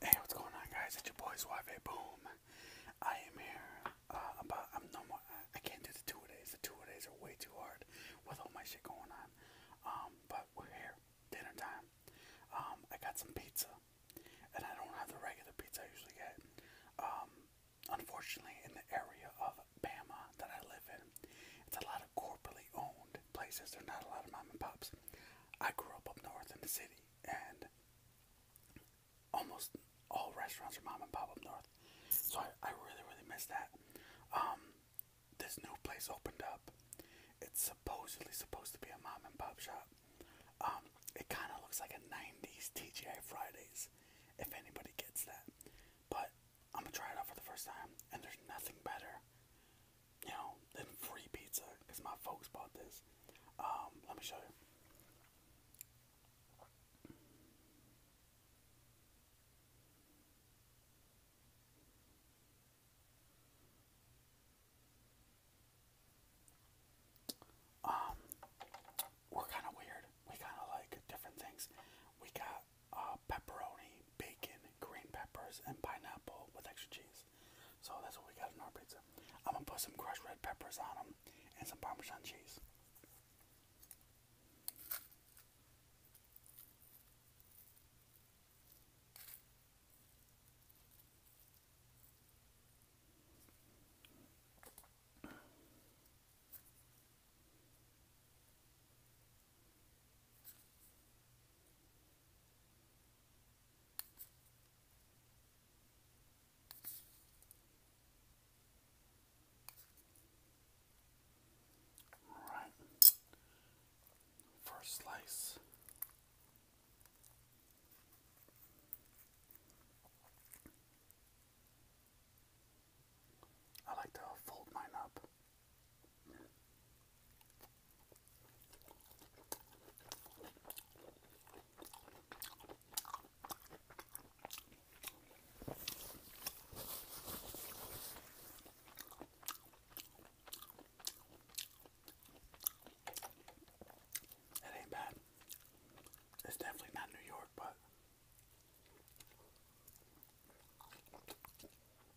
Hey, what's going on, guys? It's your boy Suave Boom. I am here. Uh, about I'm no more. I can't do the two days. The two days are way too hard with all my shit going on. Um, but we're here. Dinner time. Um, I got some pizza, and I don't have the regular pizza I usually get. Um, unfortunately, in the area of Bama that I live in, it's a lot of corporately owned places. There's not a lot of mom and pops. I grew up up north in the city, and almost all restaurants are mom and pop up north. So I, I really, really miss that. Um, this new place opened up. It's supposedly supposed to be a mom and pop shop. Um, it kind of looks like a 90s TGI Fridays, if anybody gets that. But I'm gonna try it out for the first time, and there's nothing better you know, and free pizza because my folks bought this. Um, let me show you. Um, we're kind of weird. We kind of like different things. We got uh, pepperoni, bacon, green peppers, and pineapple with extra cheese. So that's what we got in our pizza. I'm gonna put some crushed red peppers on them and some Parmesan cheese. Right. First slice. I like to fold mine up. It ain't bad. It's definitely not New York, but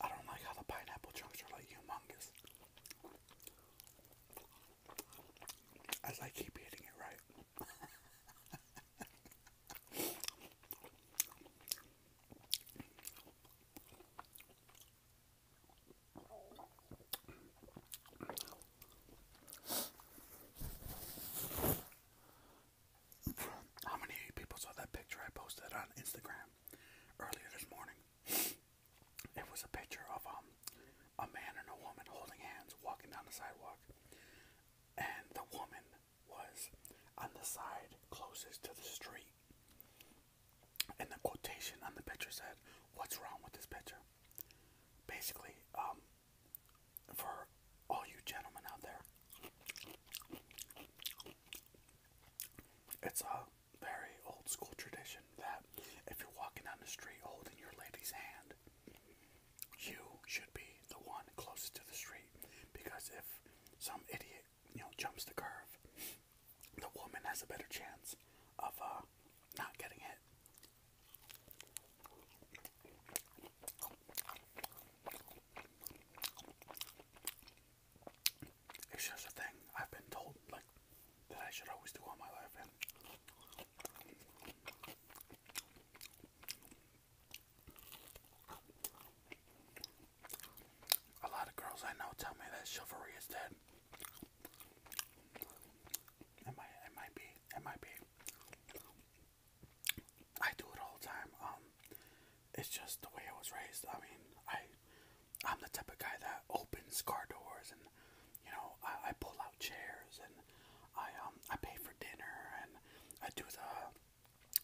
I don't like how the pineapple chunks are like humongous. I keep eating it right. How many people saw that picture I posted on Instagram earlier this morning? It was a picture of um, a man and a woman holding hands walking down the sidewalk. And the woman was on the side closest to the street and the quotation on the picture said, "What's wrong with this picture?" Basically, um, for all you gentlemen out there, it's a very old school tradition that if you're walking down the street holding your lady's hand, you should be the one closest to the street because if some idiot, you know, jumps the curve the woman has a better chance of uh, not getting hit. It's just a thing I've been told, like, that I should always do all my life, and a lot of girls I know tell me that chivalry is dead. It might, it might be, it might be. I do it all the time. Um, it's just the way I was raised. I mean, I, I'm the type of guy that opens car doors, and you know, I, I pull out chairs, and I um, I pay for dinner, and I do the,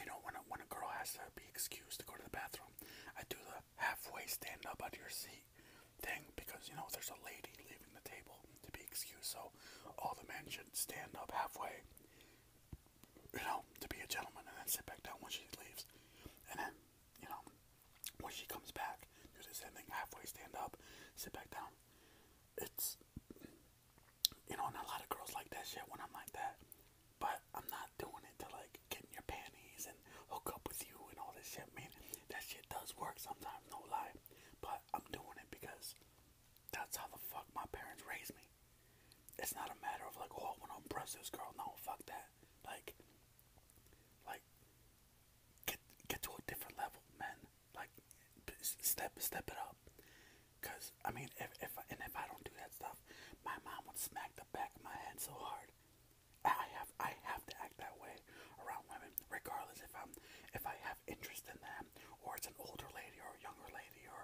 you know, when a, when a girl has to be excused to go to the bathroom, I do the halfway stand up out of your seat thing because you know there's a lady leaving the table to be excused, so all the men should stand up halfway, you know, to be a gentleman, and then sit back down when she leaves, and then you know when she comes back, do the same thing halfway stand up, sit back down. It's you know, and a lot of girls like that shit when I'm like that, but I'm not doing it to like get your panties hook up with you and all this shit, man. That shit does work sometimes, no lie. But I'm doing it because that's how the fuck my parents raised me. It's not a matter of like, oh, I want to impress this girl. No, fuck that. Like, like, get get to a different level, man. Like, step step it up. Cause I mean, if if I, and if I don't do that stuff, my mom would smack the back of my head so hard. I have I have to act that way around women, regardless if I'm if I have interest in them or it's an older lady or a younger lady or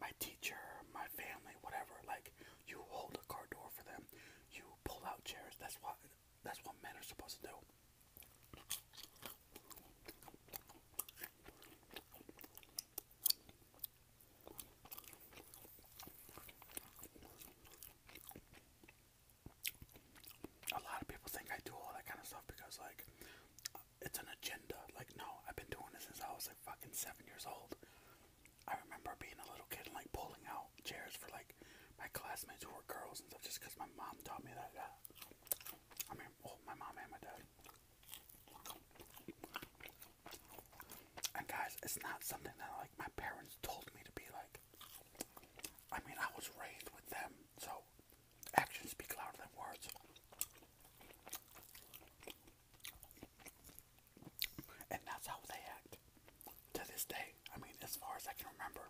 my teacher, my family, whatever. Like you hold a car door for them, you pull out chairs. That's what that's what men are supposed to do a lot of people think I do all that kind of stuff because, like, it's an agenda. Like, no, I've been doing this since I was like fucking seven years old. I remember being a little kid and like pulling out chairs for like my classmates who were girls and stuff just because my mom taught me that. I mean, my mom and my dad. And guys, it's not something that like my parents told me to be like. I mean, I was raised with them, so actions speak louder than words. And that's how they act to this day. I mean, as far as I can remember,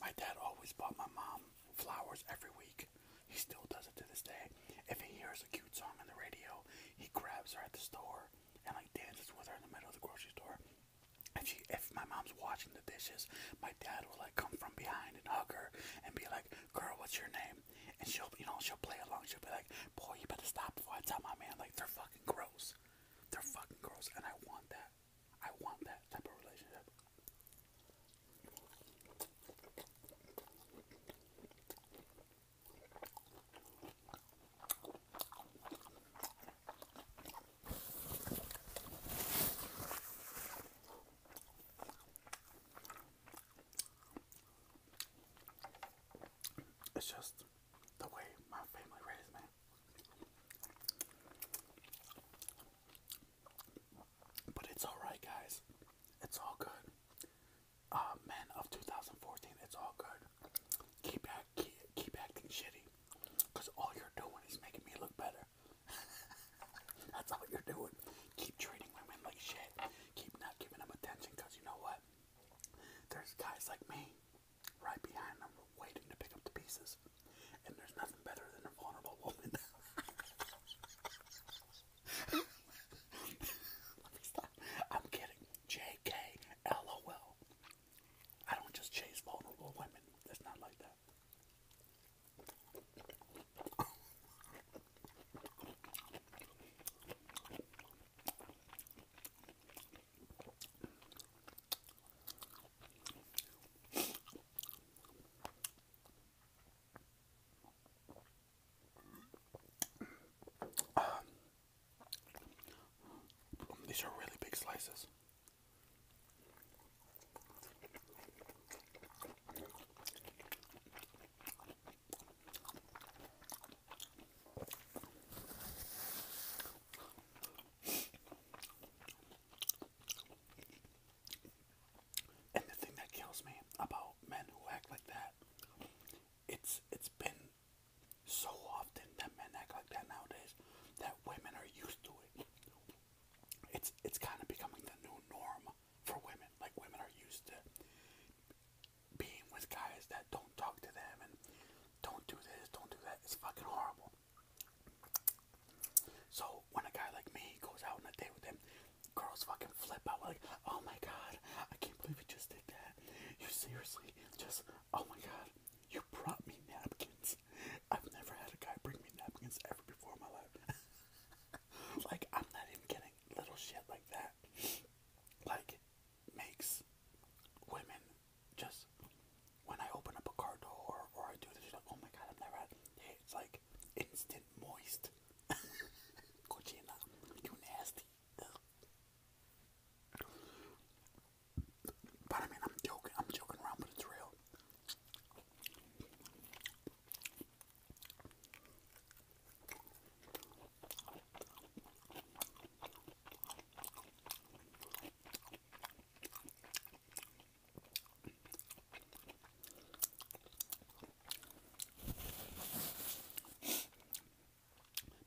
my dad always bought my mom flowers every week. He still does it to this day. If he hears a cute song on the radio, he grabs her at the store and like dances with her in the middle of the grocery store. If she, if my mom's washing the dishes, my dad will like come from behind and hug her and be like, "Girl, what's your name?" And she'll, you know, she'll play along. She'll be like, "Boy, you better stop before I tell my man." Like they're fucking gross. They're fucking gross, and I want that. I want that type of relationship. It's just the way my family raised me. But it's alright, guys. It's all good uh, oh, men of 2014. It's all good. Keep act, keep, keep acting shitty, cause all you're doing is making me look better. That's all you're doing. Keep treating women like shit. Keep not giving them attention, cause you know what? There's guys like me, right behind them, waiting to pick up the pieces. And there's nothing better than a vulnerable woman. Let me stop. I'm kidding. JK, don't just chase vulnerable women. It's not like that. These are really big slices. And the thing that kills me about men who act like that, it's it's been so often that men act like that nowadays that women are used to it. It's it's kind of becoming the new norm for women. Like women are used to being with guys that don't talk to them and don't do this, don't do that. It's fucking horrible. So when a guy like me goes out on a date with them, girls fucking flip out like, oh my god, I can't believe you just did that. You seriously just, oh my god, you brought me napkins. I've never had a guy bring me napkins ever before in my life. like, I'm not even getting little shit like that. Like, makes women just, when I open up a car door or, I do this, you like, oh my god, I've never had, it's like instant moist. Cochina, you nasty. But I mean, I'm joking. I'm joking around, but it's real.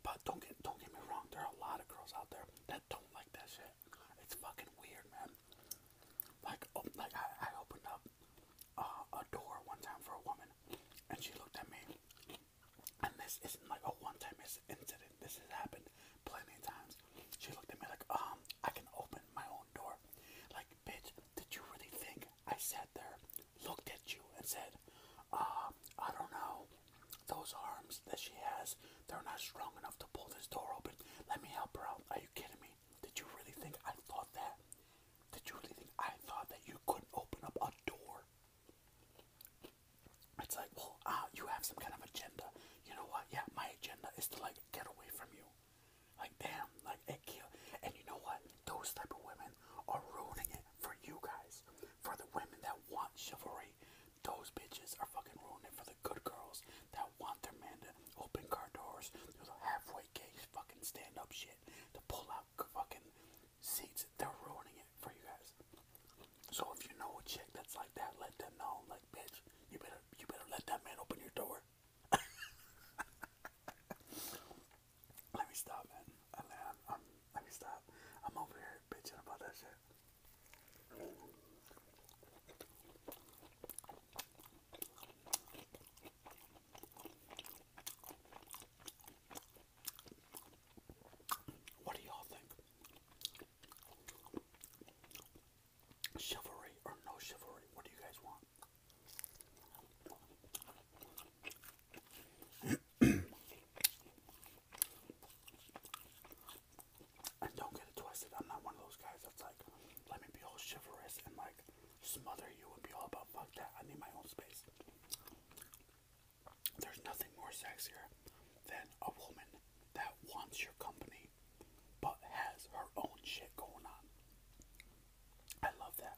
But don't get don't get me wrong, there are a lot of girls out there that don't like that shit. It's fucking weird, man. Like, oh, like I, I opened up uh, a door one time for a woman, and she looked at me. And this isn't like a one-time incident. This has happened plenty of times. She looked at me like, um, I can open my own door. Like, bitch, did you really think I sat there, looked at you, and said, ah, I don't know. Those arms that she has, they're not strong enough to pull this door open. Let me help her out. Are you kidding me? Did you really think I thought that? Did you really think I thought that you couldn't open up a door? It's like, well, uh, you have some kind of agenda. You know what? Yeah, my agenda is to, like, get away from you. Like, damn, like, a killed. And you know what? Those type of women are ruining it for you guys. For the women that want chivalry, those bitches are fucking ruining it. For the good girls that want their man to open car doors, do the halfway gay fucking stand up shit, to pull out fucking seats, they're ruining it for you guys. So if you know a chick that's like that, let them know. Like, bitch, you better you better let that man open your door. Let me stop, man. let me stop. I'm over here bitching about that shit. What do y'all think? Chivalry or no chivalry? What do you guys want? and don't get it twisted. I'm not one of those guys that's like, let me be all chivalrous and like smother you and be all about fuck that. I need my own space. There's nothing more sexy than a woman that wants your company but has her own shit going on. I love that.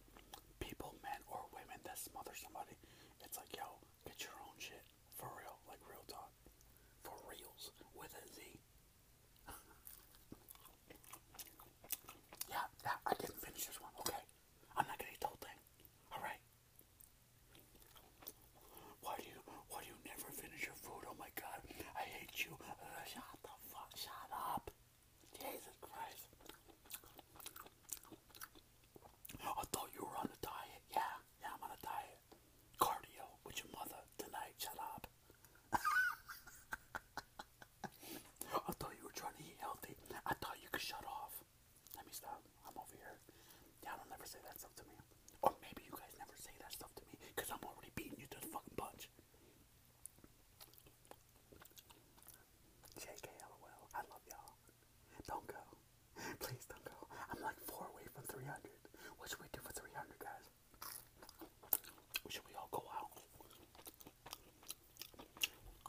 People, men or women, that smother somebody, it's like, yo, get your own shit. For real. Like, real talk. For reals. With a Z. yeah, yeah, I didn't finish this one. Okay. I'm not gonna eat the whole thing. Alright. Why do you why do you never finish your food? Oh my god. I hate you. Uh, shut the fuck shut up. Jesus Christ. I thought you were on a diet. Yeah, yeah, I'm on a diet. Cardio with your mother tonight. Shut up. I thought you were trying to eat healthy. I thought you could shut off. Let me stop. I'm over here. Yeah, don't ever say that stuff to me. Or maybe you guys never say that stuff to me I'm already beating you to the fucking punch. JKLOL, I love y'all. Don't go. Please don't go. I'm like four away from 300. What should we do for 300, guys? Should we all go out?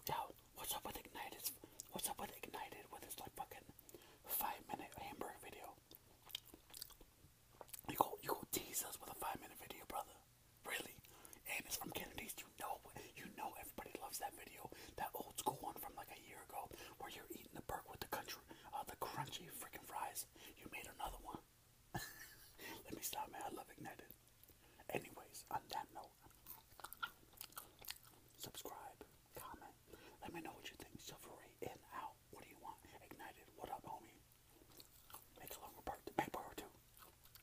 Yo, what's up with Ignited? What's up with Ignited with this like fucking five minute hamburger video? You go, you go tease us with a five minute video, brother. Really? And it's from Kennedy's. You know, you know, everybody loves that video. That old school one from like a year ago, where you're eating the burger with the country, uh, the crunchy freaking fries. You made another one. Let me stop, man. I love ignited. Anyways, on that note, subscribe, comment. Let me know what you think. Silvery in, out. What do you want? Ignited. What up, homie? Make a longer part. Make part two.